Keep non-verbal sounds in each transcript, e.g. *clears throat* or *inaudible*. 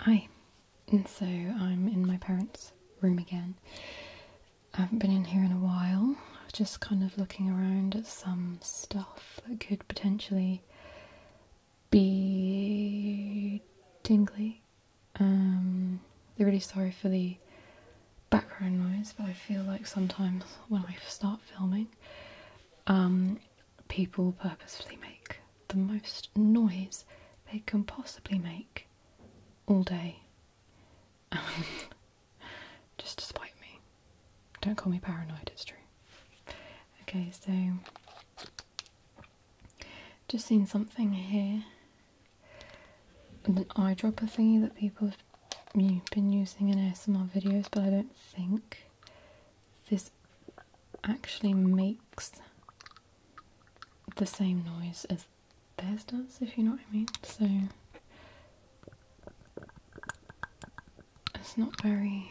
Hi, and so I'm in my parents' room again. I haven't been in here in a while, just kind of looking around at some stuff that could potentially be tingly. Um, i really sorry for the background noise, but I feel like sometimes when I start filming, um, people purposefully make the most noise they can possibly make all day. *laughs* Just to spite me. Don't call me paranoid, it's true. Okay, so just seen something here. An eyedropper thingy that people have been using in ASMR videos, but I don't think this actually makes the same noise as theirs does, if you know what I mean. So it's not very.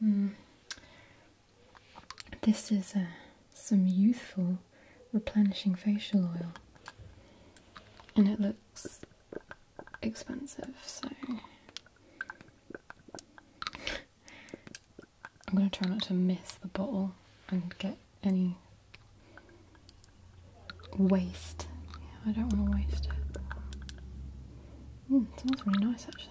Hmm. This is uh, some youthful replenishing facial oil, and it looks expensive, so I'm going to try not to miss the bottle and get any waste. I don't want to waste it. Mm, smells really nice actually.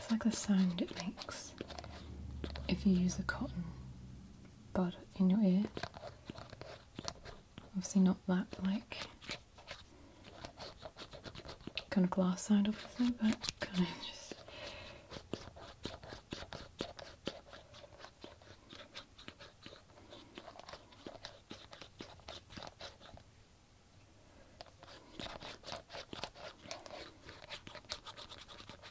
It's like the sound it makes if you use the cotton but in your ear. Obviously not that like kind of glass side obviously, but kind of just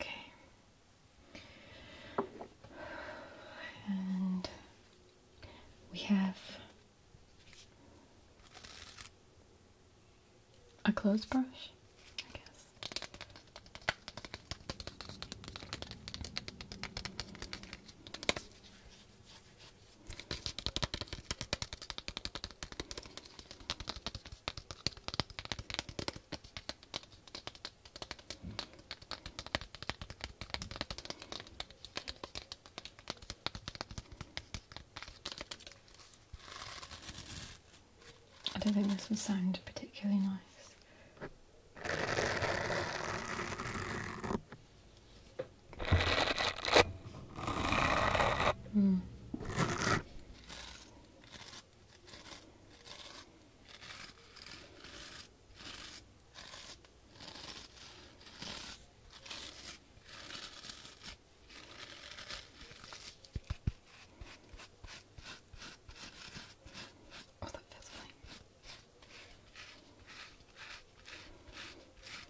Okay. And we have a clothes brush, I guess. I don't think this will sound particularly nice. Mm. Oh, that feels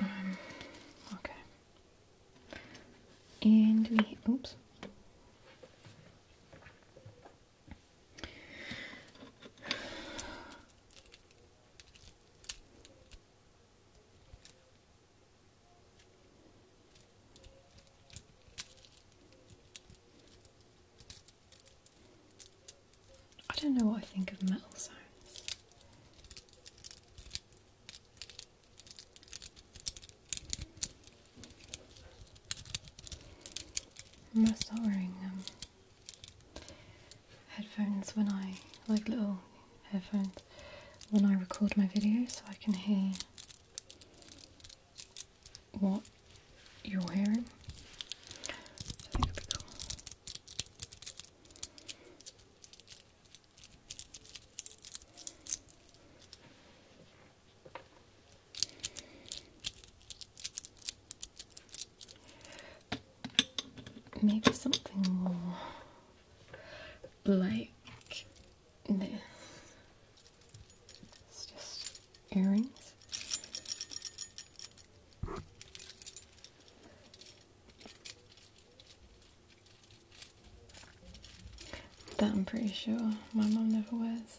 Um, okay. And we, oops. I don't know what I think of metal sounds. I must not wearing um, headphones when I, like little headphones, when I record my videos so I can hear what you're wearing. Maybe something more like this. It's just earrings. That I'm pretty sure my mom never wears.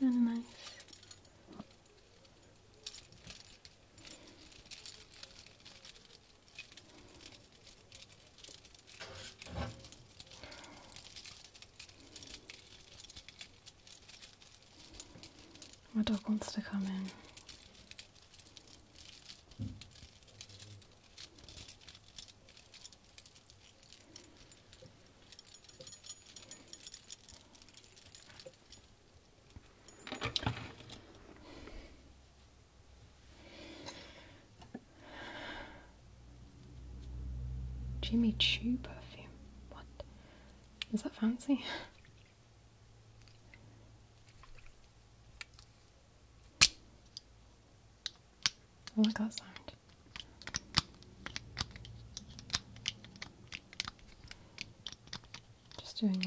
Kind of nice. My dog wants to come in. Jimmy Choo perfume. What? Is that fancy? I like that Just doing that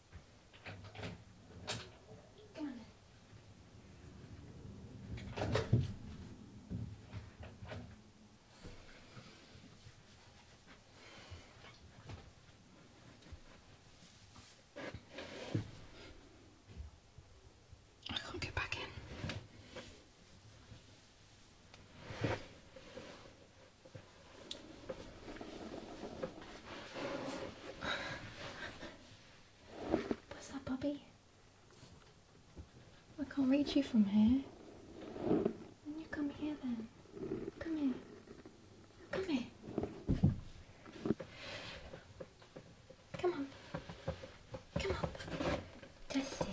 I can't get back in. What's that, Bobby? I can't reach you from here. Then you come here then. Come here. Come here. Come on. Come on. Just sit.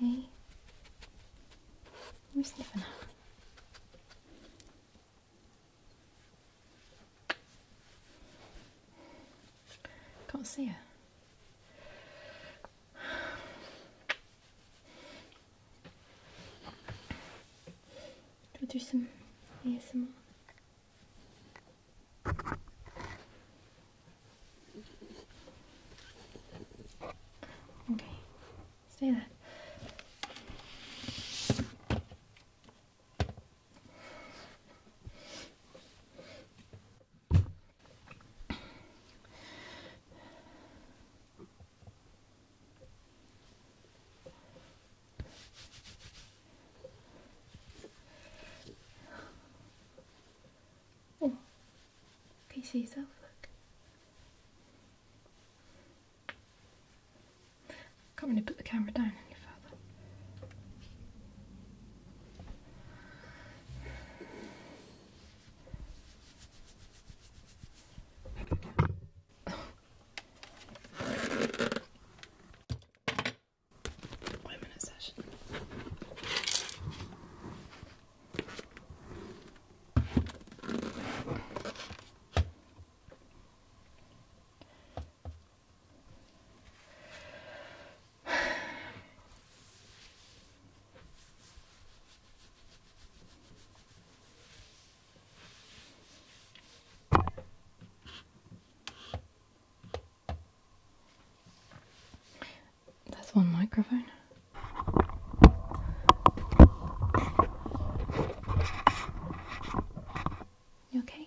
Hey, you're sniffing Can't see her. I'll do some ASMR. Okay, stay there. Oh, can you see Can't really put the camera down any further. Wait a minute session. That's one microphone. You okay?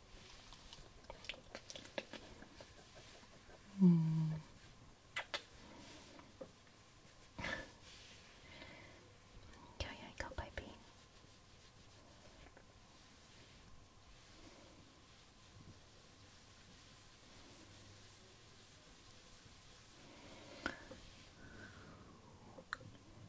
Mm. Trời ơi, cậu baby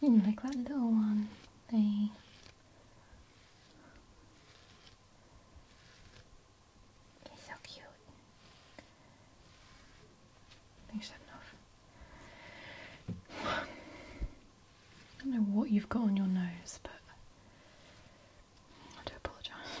You like that little one? They He's so cute. I think that's enough. don't know what you've got on your nose, but I do apologise.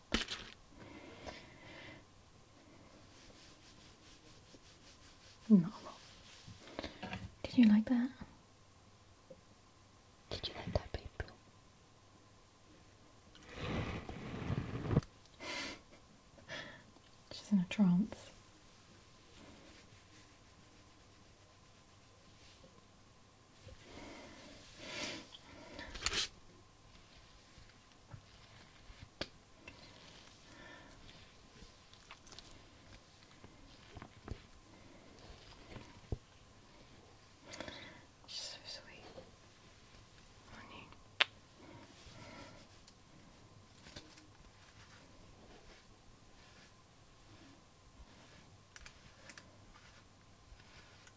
No. Did you like that? Did you like that, baby She's in a trance. So sweet. Honey.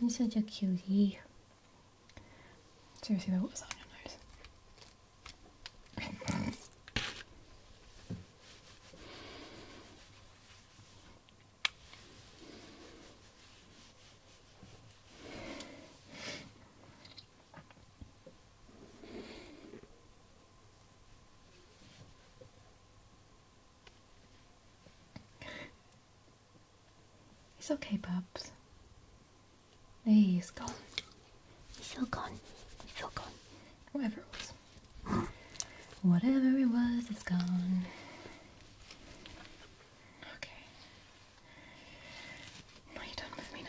You're such a cutie. Seriously though, what was on your nose? It's okay, pups. He's gone. He's still gone. He's still gone. Whatever it was. Whatever it was, it's gone. Okay. Are you done with me now?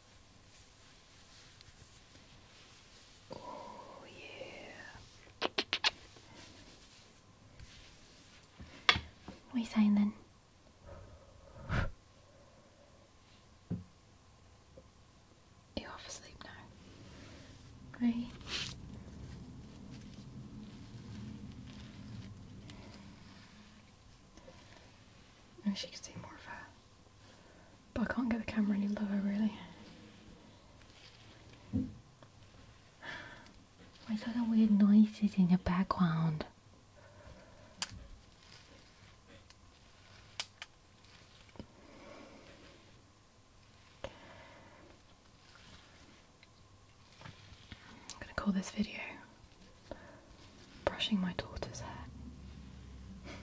Oh, yeah. We sign then. You're half asleep now. Right. And she could see more of but I can't get the camera any lower really. Why is there weird noises in the background? I'm gonna call this video brushing my daughter's hair.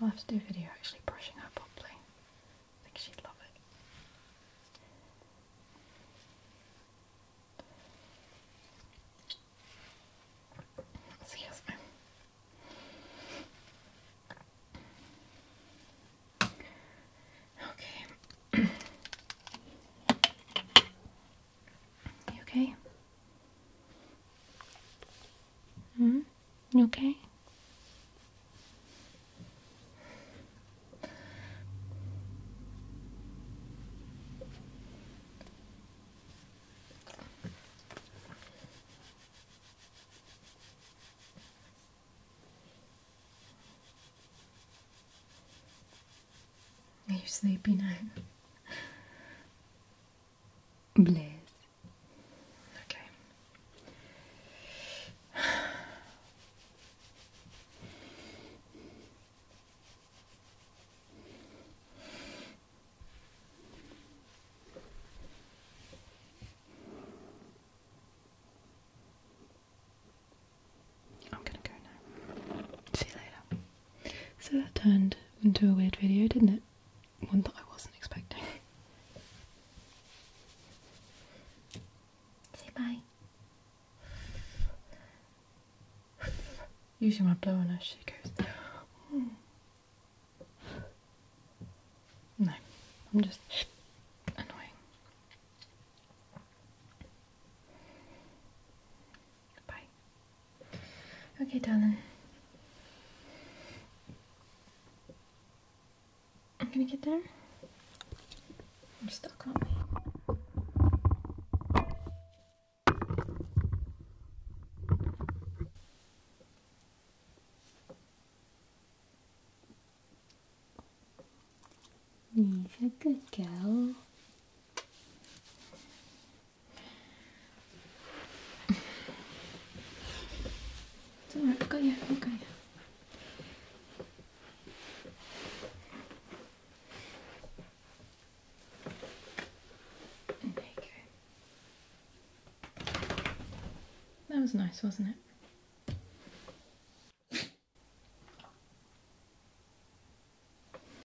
I'll have to do video actually brushing her properly. I think she'd love it. Excuse me. Okay. *clears throat* You okay? Hmm? You okay? Are you sleepy now? Bliss. Okay. I'm going to go now. See you later. So that turned into a weird video, didn't it? One that I wasn't expecting. Say bye. Usually my blow on her, she goes. Mm. No, I'm just annoying. Okay, darling. I'm gonna get there. I'm stuck on me. You're a good girl. It's alright, got you, i you. That was nice, wasn't it?